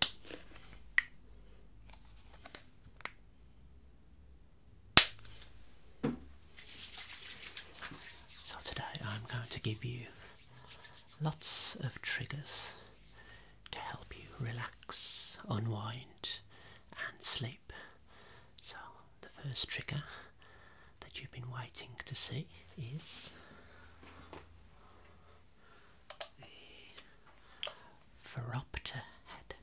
So today I'm going to give you lots of triggers to help you relax, unwind and sleep. So the first trigger that you've been waiting to see is the Ferropter head.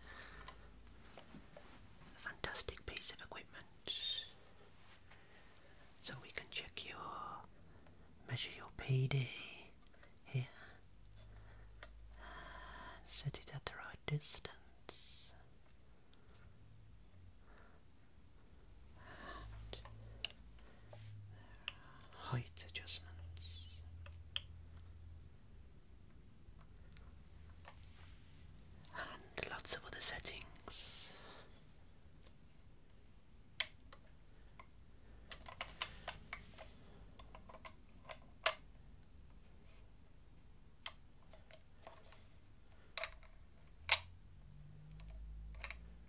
A fantastic piece of equipment. So we can check your measure your PD here. Set it at the right distance height adjustments. And lots of other settings.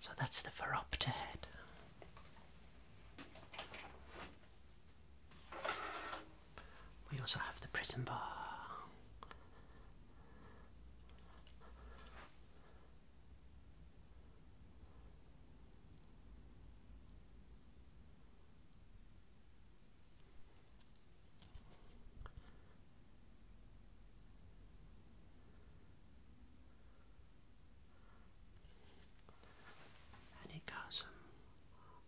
So that's the Pheropta head. We also have the prison bar. And it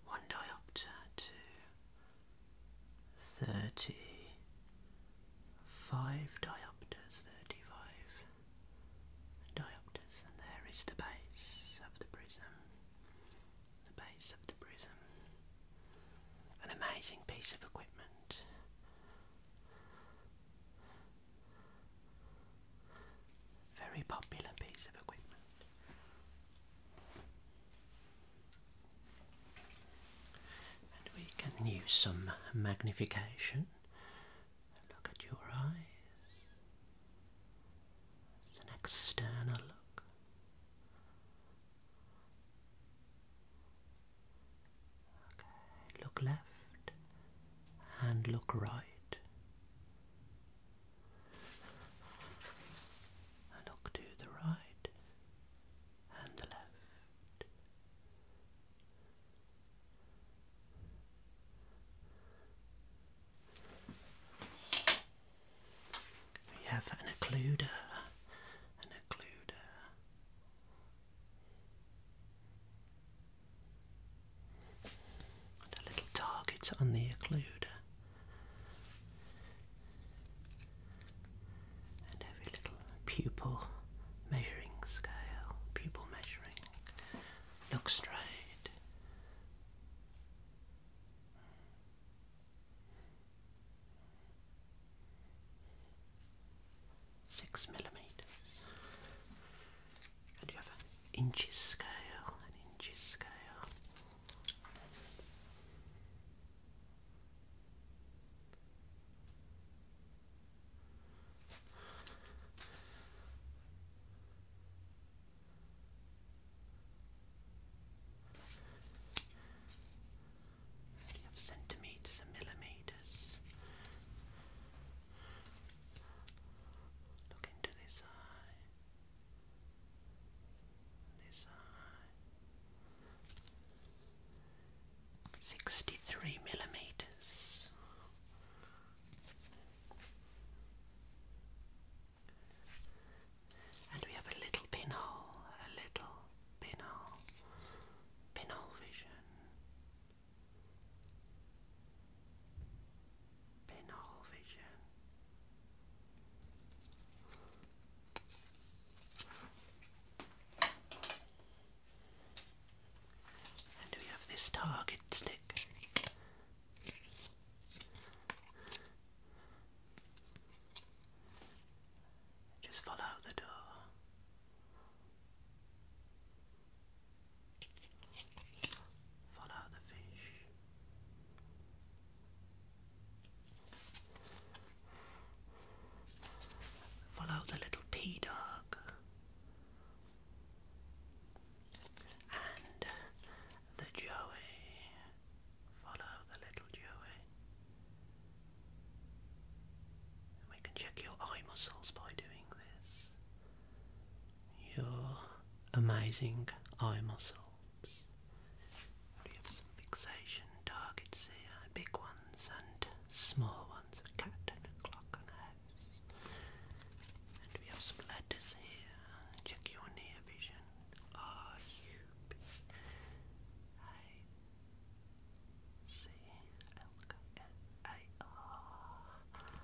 one diopter to thirty five diopters, thirty five diopters, and there is the base of the prism. The base of the prism. An amazing piece of equipment. Very popular piece of equipment. And we can use some magnification. Look at your eyes. It's an external look. Okay, look left and look right look to the right and the left. We have an occluder, an occluder. And a little target on the occluder and every little pupil measuring scale, pupil measuring, look straight. Six millimeters, and you have an inches scale, an inches scale, you centimeters and millimeters. Look into this eye. Sixty-three millimeters. And we have a little pinhole, a little pinhole, pinhole vision, pinhole vision. And we have this target stick. Just follow the door. Follow the fish. Follow the little pea dog. And the Joey. Follow the little Joey. We can check your eye muscles by doing this. Your amazing eye muscle. We have some fixation targets here, big ones and small ones, a cat and a clock and a house. And we have some letters here, check your near vision. R U B A C L K N A R.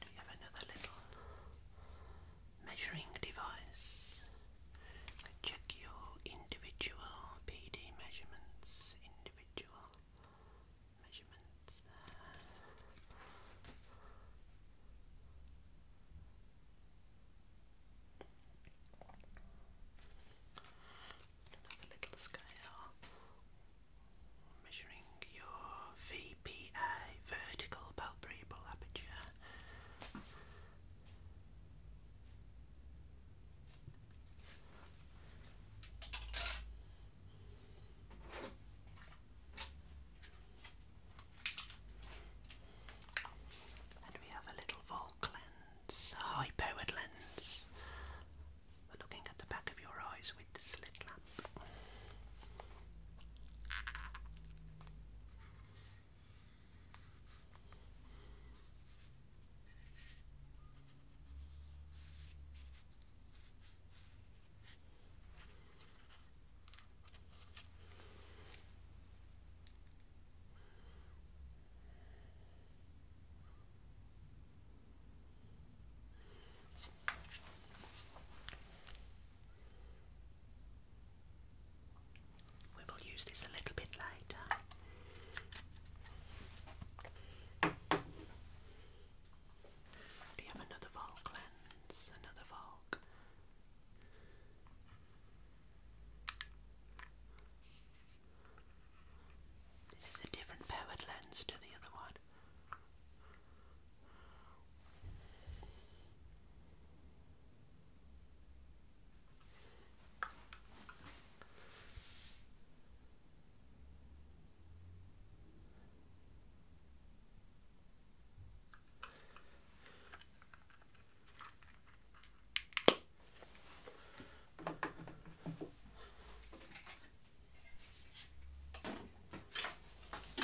Do you have another little measuring device? I check your individual PD measurements, individual measurements another little scale measuring your VPA, vertical palpebral aperture. And we have a little Volk lens, a high lens looking at the back of your eyes with the slit lamp. We will use this a little bit later. Do you have another Volk lens? Another Volk? This is a different powered lens to the other one.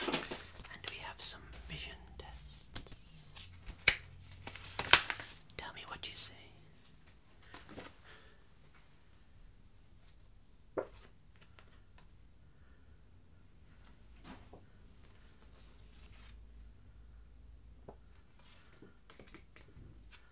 And we have some vision tests. Tell me what you see.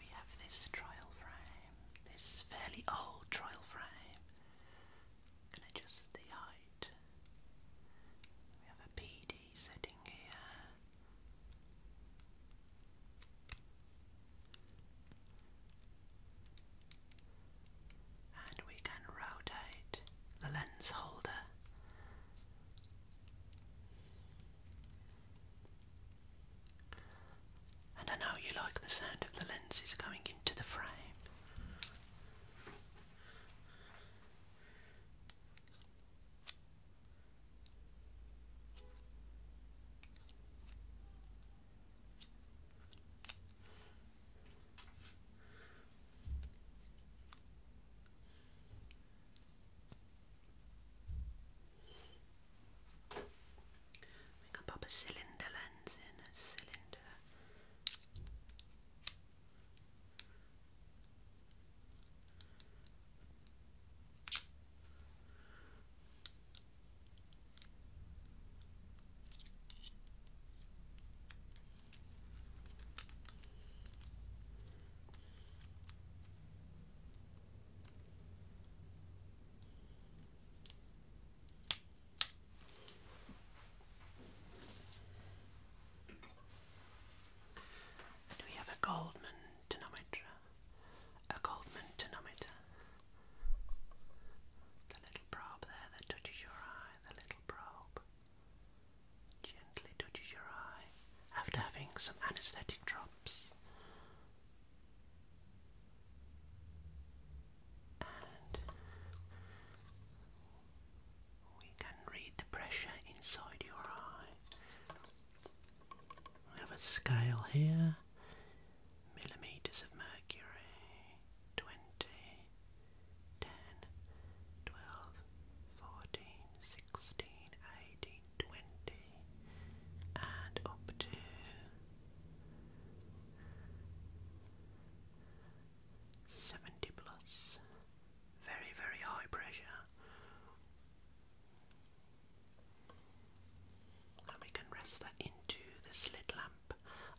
We have this trial frame, this fairly old trial frame. i adjust the height. We have a PD sitting here. And we can rotate the lens holder. And I know you like the sound of the lenses going into the frame. We can pop a cylinder lens in a cylinder. Do we have a Goldman denominator? a Goldman tonometer. The little probe there that touches your eye, the little probe gently touches your eye after having some anesthetic drops. And we can read the pressure inside your eye. We have a scale here. Millimeters of mercury. 20, and up to 70 plus. Very, very high pressure. And we can rest that into the slit lamp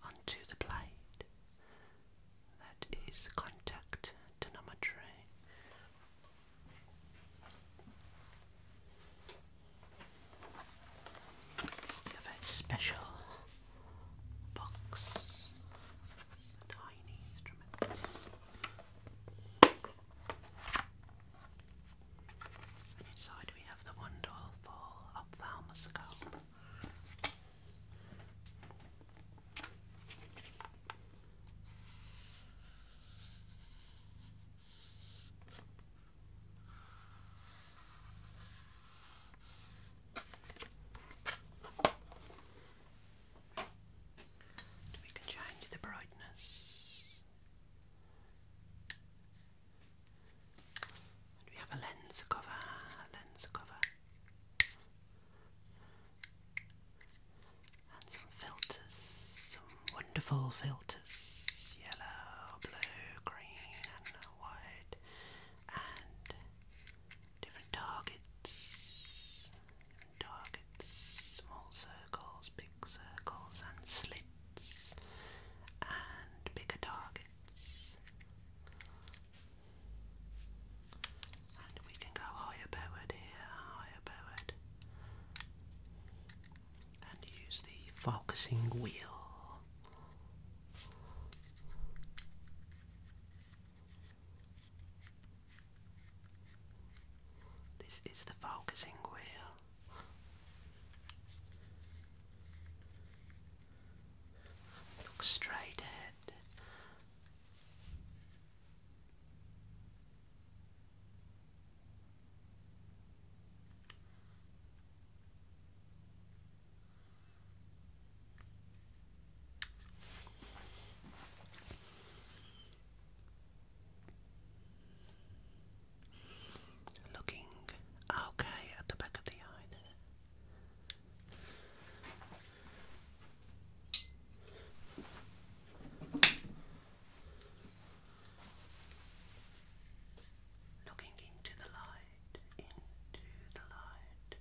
onto the plate. That is contact tonometry. Give a special box, tiny instruments. Inside we have the wonderful ophthalmoscope. We can change the brightness. we have a lens cover, a lens cover, and some filters, some wonderful filters yellow, blue, green, and white, and different targets targets small circles, big circles, and slits, and bigger targets. And we can go higher powered here, higher powered, and use the focusing wheel. This is the focusing wheel. Look straight ahead. Looking okay at the back of the eye Looking into the light, into the light.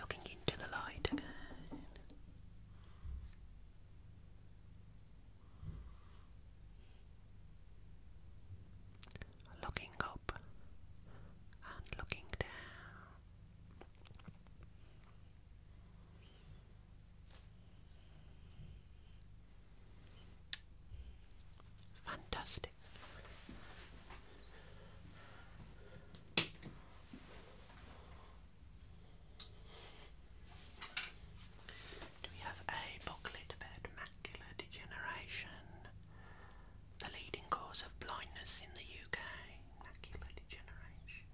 Looking into the light looking up and looking down. Fantastic. Do we have a booklet about macular degeneration, the leading cause of blindness in the UK. Macular degeneration.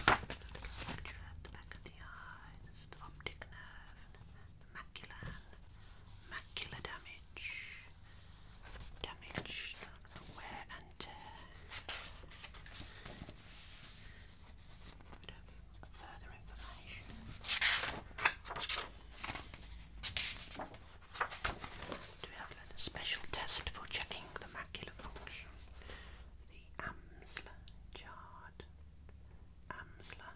Structure at the back of the eye, the optic nerve, the macular, macular damage, damage, wear and bit of further information. we have a special test for checking the macular function? The Amsler chart. Amsler.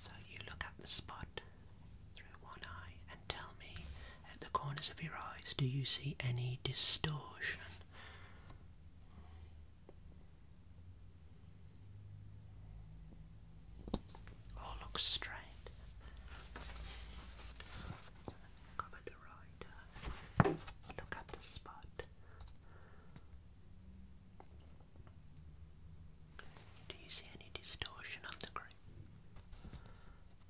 So you look at the spot through one eye and tell me at the corners of your eyes do you see any distortion? Or oh, look straight. Cover the right Look at the spot. Do you see any distortion on the grip?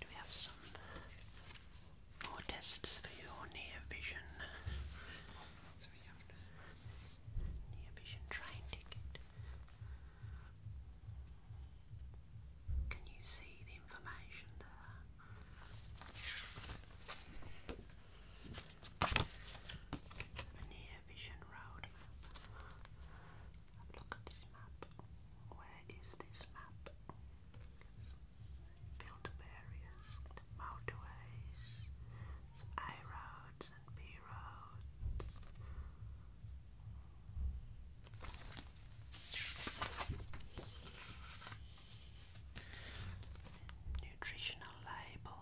Do we have some more tests for your near vision? near vision train ticket. Can you see the information there? The near vision road look at this map. Where is this map? Built up areas, motorways, A roads and B roads. Nutritional label.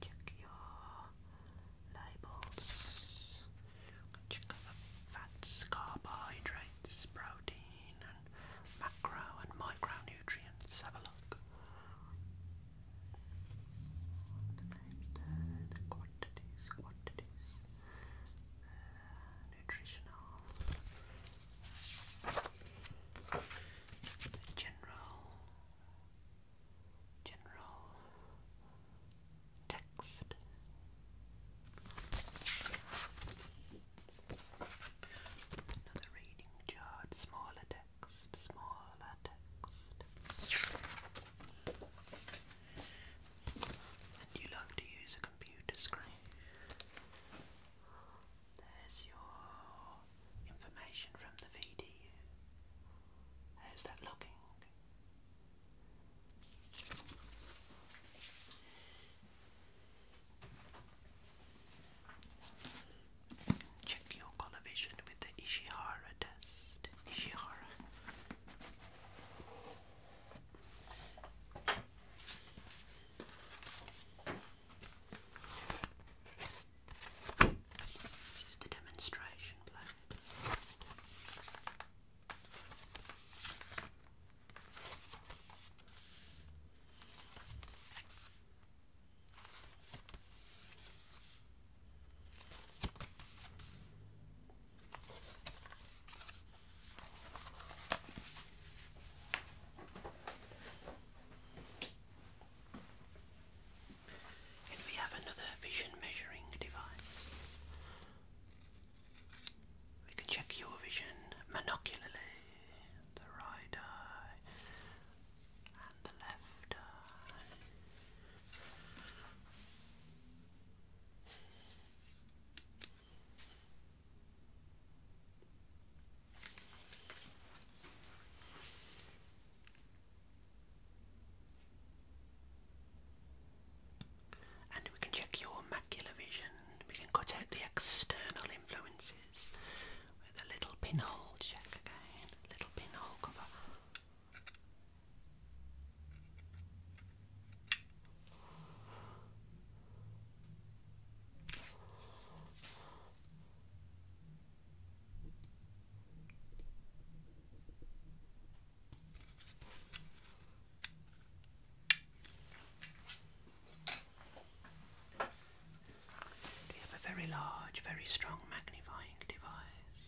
Check your labels. Check the fats, carbohydrates, protein, and macro and micronutrients. Have a look. The quantities, quantities, uh, nutritional general general text. Another reading chart, smaller text, smaller text. And you like to use a computer screen. There's your information from the VDU. How's that looking? Check your coloration with the Ishihara test. Ishihara. This is the demonstration blade. And we have another vision measuring device. We can check your vision monocularly, the right eye and the left eye. And we can check your macular vision. We can cut out the external influences with a little pinhole check again. Little pinhole cover. We have a very large, very strong magnifying device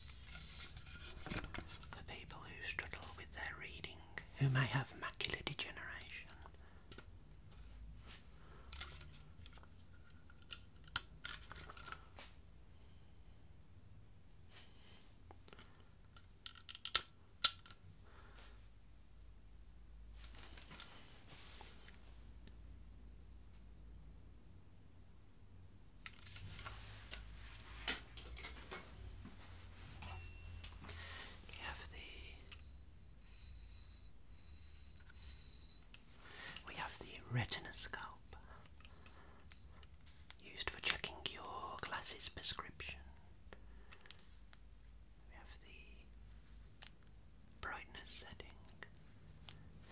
for people who struggle with their reading, who may have macular degeneration, we have the we have the retinoscope, used for checking your glasses prescription. We have the brightness setting.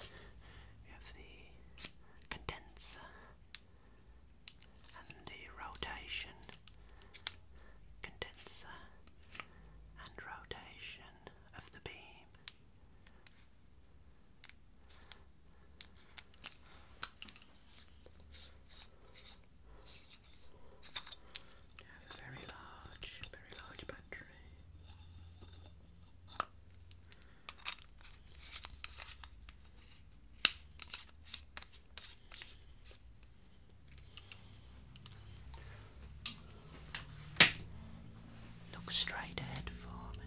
We have the condenser and the rotation. Condenser and rotation of You have a very large, very large battery. Look straight ahead for me.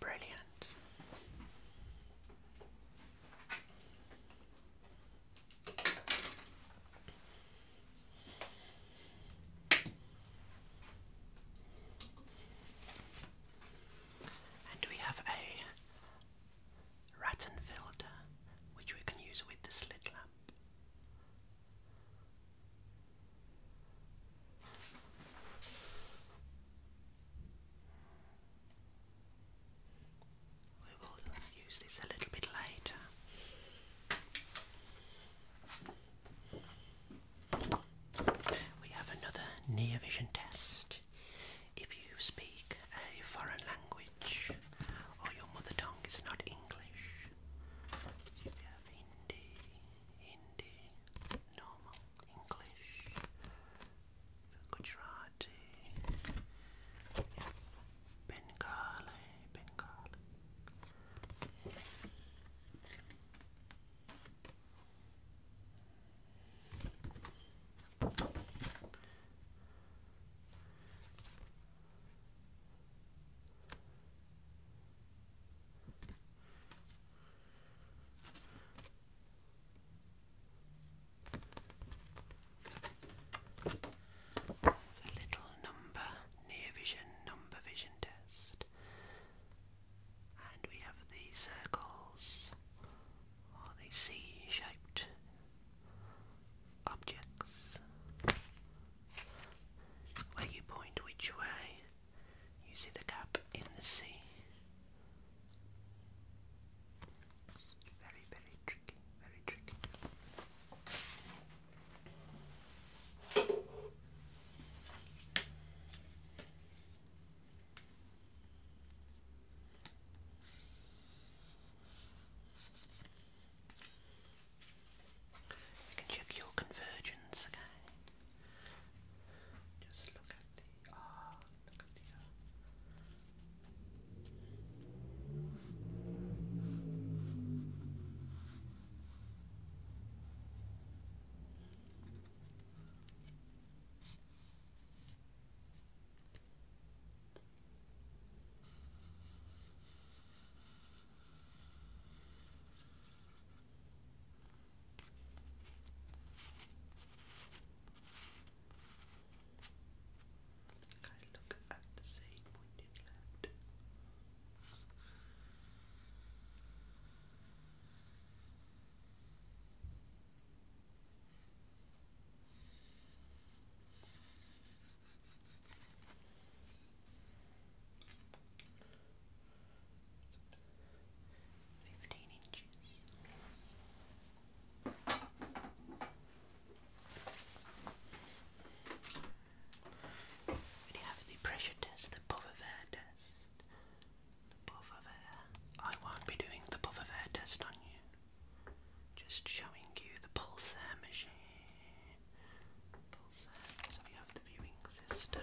Brilliant. And we have a Ratten filter, which we can use with the slit lamp. We will use this a little bit later. We have another near vision test. If you speak a foreign language or your mother tongue is not English, Hindi, Hindi, normal English, Gujarati, Bengali, Bengali. A little number near vision number vision test. And we have the circles are they C-shaped objects where you point which way you see the gap in the sea. very, very tricky, very tricky. You can check your convergence again. Just look at the ah, look at the uh, Okay, look at the same pointed left. Fifteen inches. We have the pressure test, the puff air test. The puff air. I won't be doing the puff air test on you. Just showing you the pulsar machine. So we have the viewing system.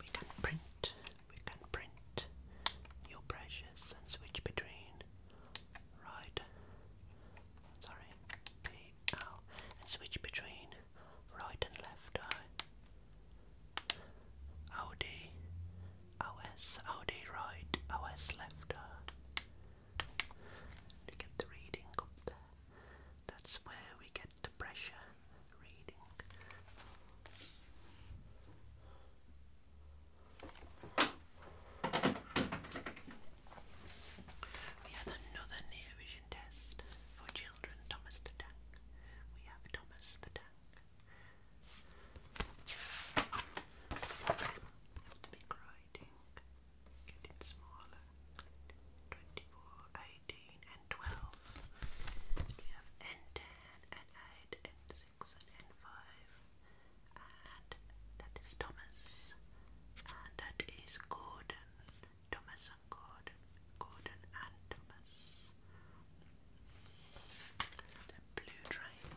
We can print, we can print your brushes and switch between right, sorry, B, and switch between right and left eye. right, OS left To get the reading up That's where we get the pressure reading. We have another near vision test for children, Thomas the Tank. We have Thomas the Tank. To be grinding, getting smaller. 24, and 12. We have N10, N8, N6, and 5 and that is Thomas and that is Gordon Thomas and Gordon Gordon and Thomas the blue train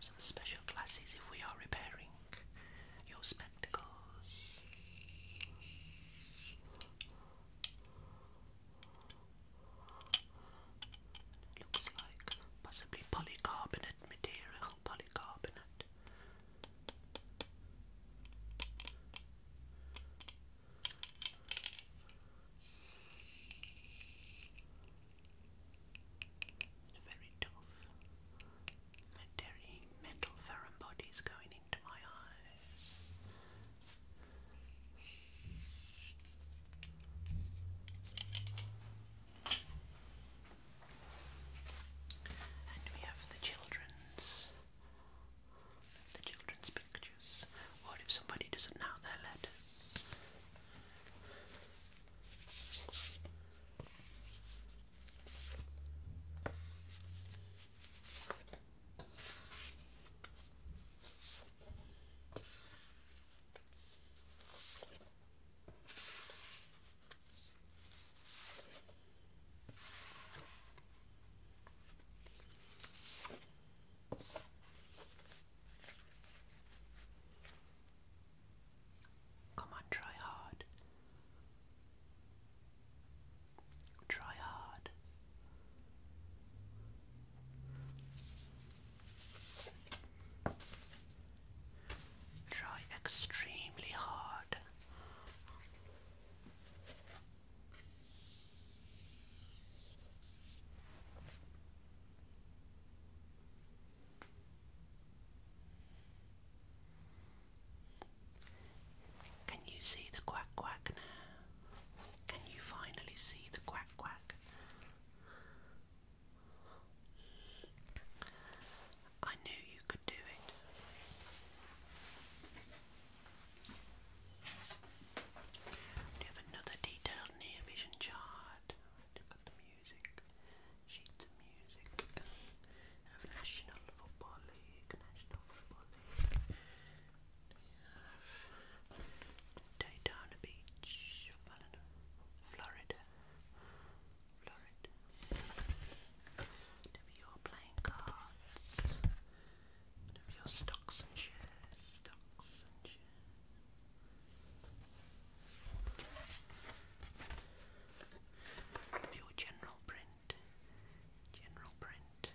some special glasses if we are repairing your spectacles. It looks like possibly polycarbonate material, polycarbonate. It's very tough. Metal, metal foreign bodies going into my eye. And we have the children's the children's pictures. What if somebody doesn't know their letters? Come on, try hard. Try hard. Try extremely hard. Can you see the quack quack now? Can you finally see the quack quack? I knew you could do it. have another detailed near vision chart. Look the music, sheets of music. National Football League, National Football League we have Daytona Beach, Florida, Florida. Then we playing cards. Then we stocks and shares, stocks and shares. Your general print, general print,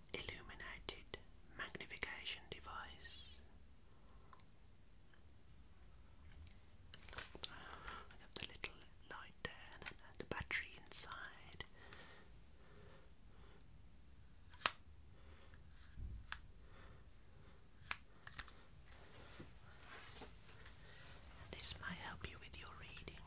illuminated magnification device. I have the little light there and the battery inside. This might help you with your reading.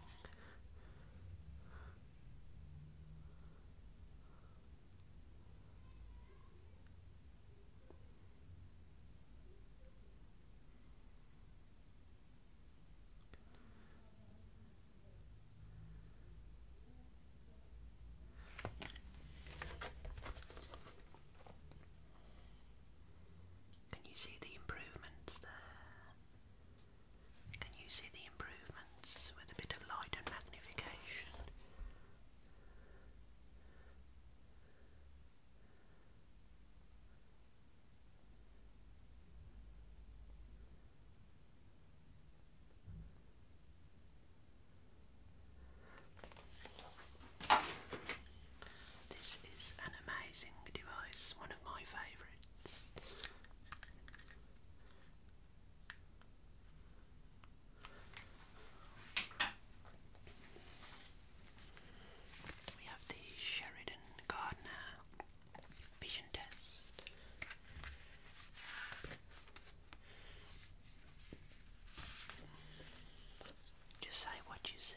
Can you see the improvements there? Can you see the improvements with a bit of light and magnification? This is an amazing device, one of my favourites. We have the Sheridan Gardner vision test. Just say what you say.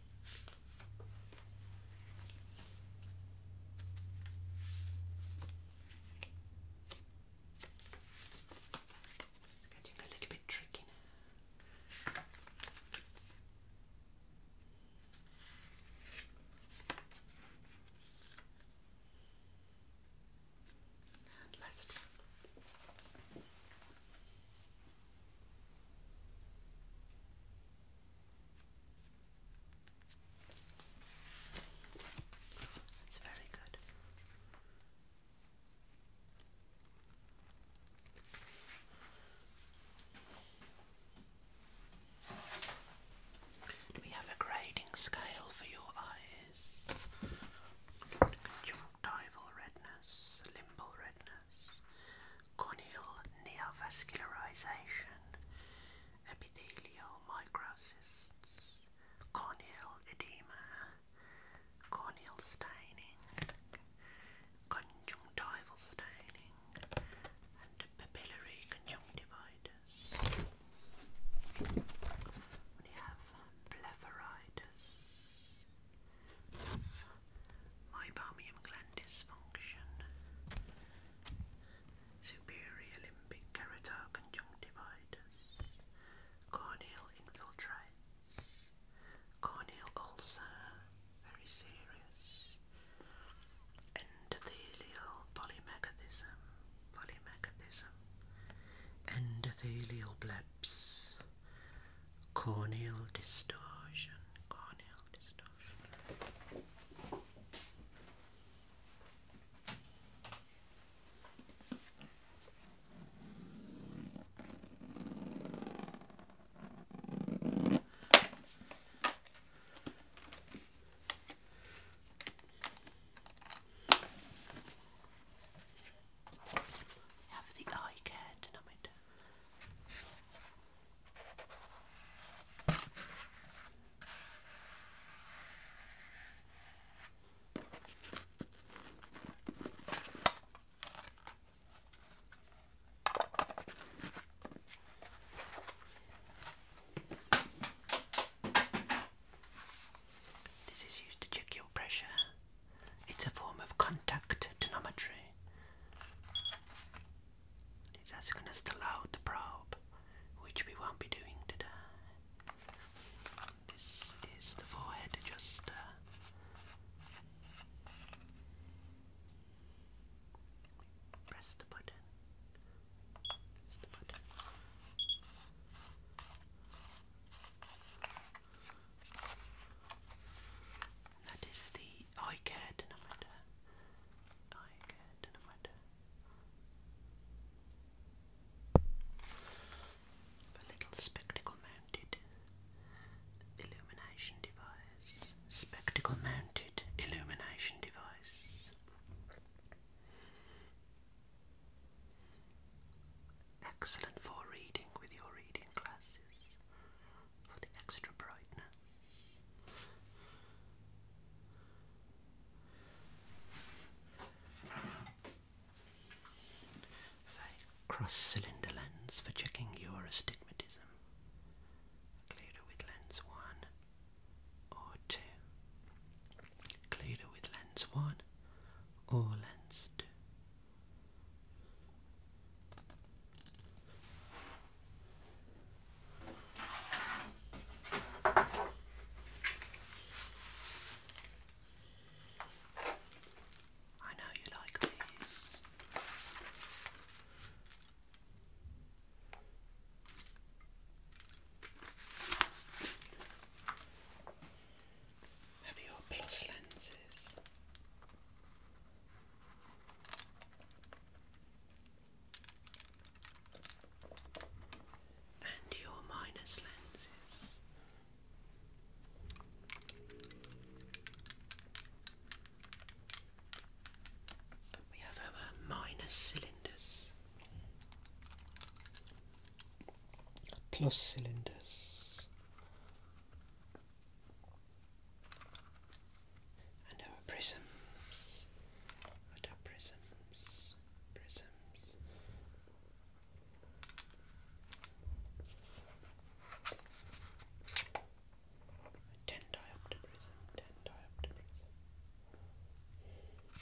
It's getting a little bit tricky now. And last that's very good. Do we have a grading scale for your eyes? Conjunctival redness, limbal redness, corneal neovascularization, epithelial microcysts, corneal edema, corneal staining, conjunctival staining, and papillary conjunctivitis. We have blepharitis, mybalmium gland dysfunction, superior limbic keratoid corneal infiltrates, corneal ulcer, very serious, endothelial polymecathism, polymecathism, endothelial blips, corneal distortion, corneal distortion. Have the eye care dynamite. This is used to check your pressure. It's a form of contact tonometry. That's going to still out the probe, which we won't be doing today. This is the forehead adjuster. Press the button. That is the I dynamite. Oikea dynamite. A little spectacle mounted illumination device. Spectacle mounted illumination device. Excellent for reading with your reading glasses for the extra brightness. A cross-cylinder lens for checking your astigmatism. Clearer with lens 1 or 2. Clearer with lens 1 or lens 2. I know you like these. Have your plus lenses and your minus lenses. We have our minus cylinders, plus cylinders and our prisms, and our prisms, prisms. Ten diopter prism, ten diopter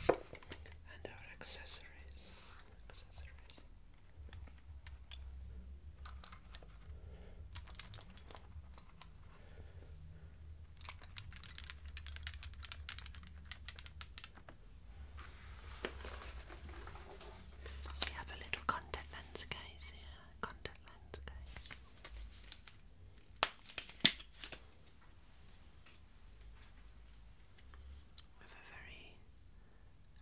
prism, and our accessories, accessories. We have a little contact lens case here, contact lens case. With a very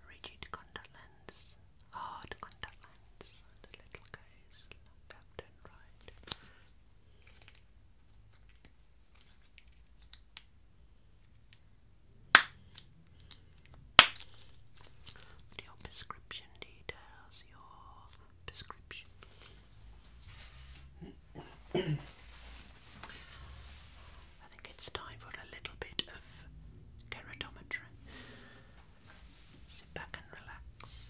rigid contact lens, hard contact lens, and a little case, left right. Your prescription details, your prescription. I think it's time for a little bit of keratometry. Sit back and relax.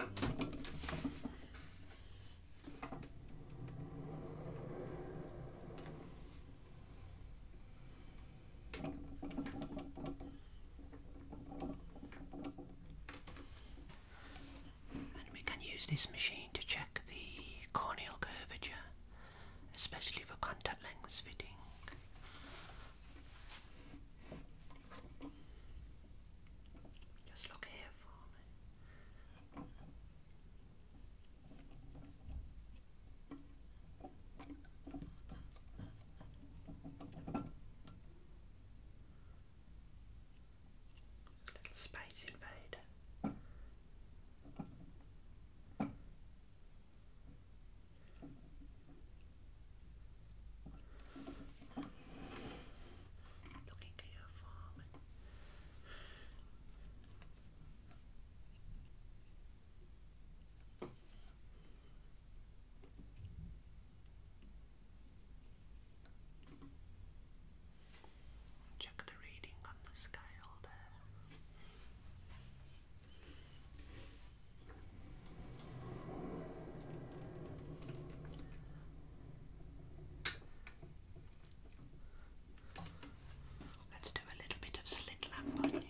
And we can use this machine to check the corneal curvature, especially for contact lens fitting. Just look here for me. Little space invader. Looking at your farm. Check the reading on the scale there. Let's do a little bit of slit lamp on you.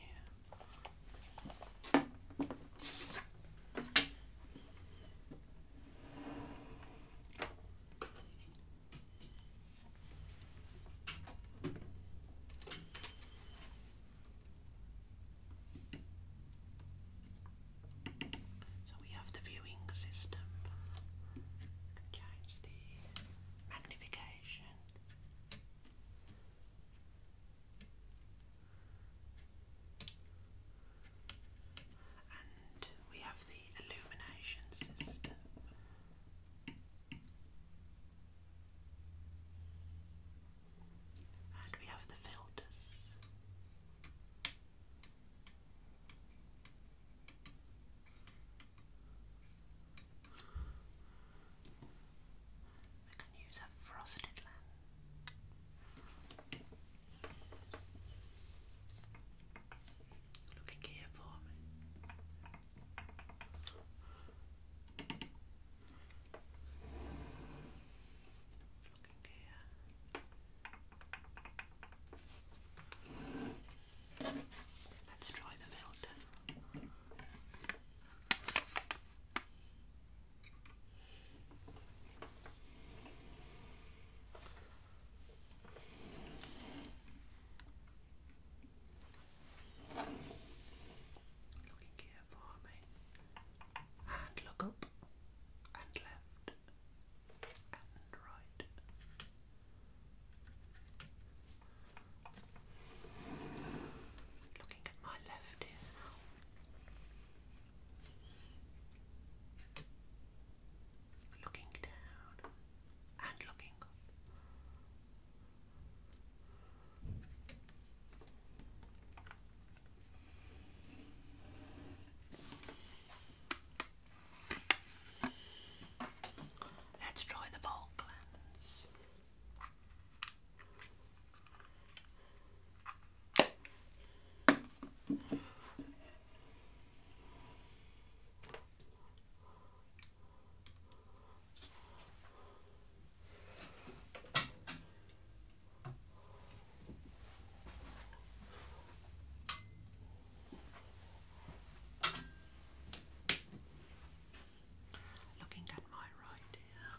So we have the viewing system. Change the magnification. And we have the illumination system. And we have the filters. We can use a frosted lamp. Looking here Okay. Let's try the filter. Looking here for me and look up and left and right. Looking at my left ear now. Looking down and looking up. Let's try the Falklands. Looking at my right here.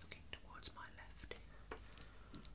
Looking towards my left. Okay.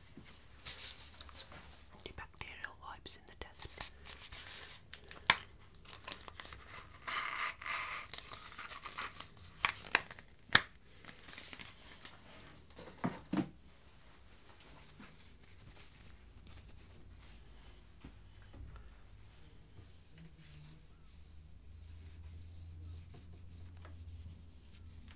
Antibacterial wipes in the desk.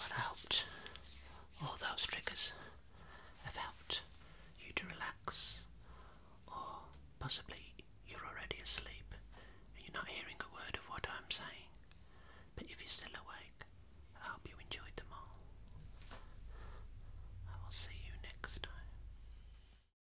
I hoped all those triggers have helped you to relax, or possibly you're already asleep and you're not hearing a word of what I'm saying. But if you're still awake, I hope you enjoyed them all. I will see you next time.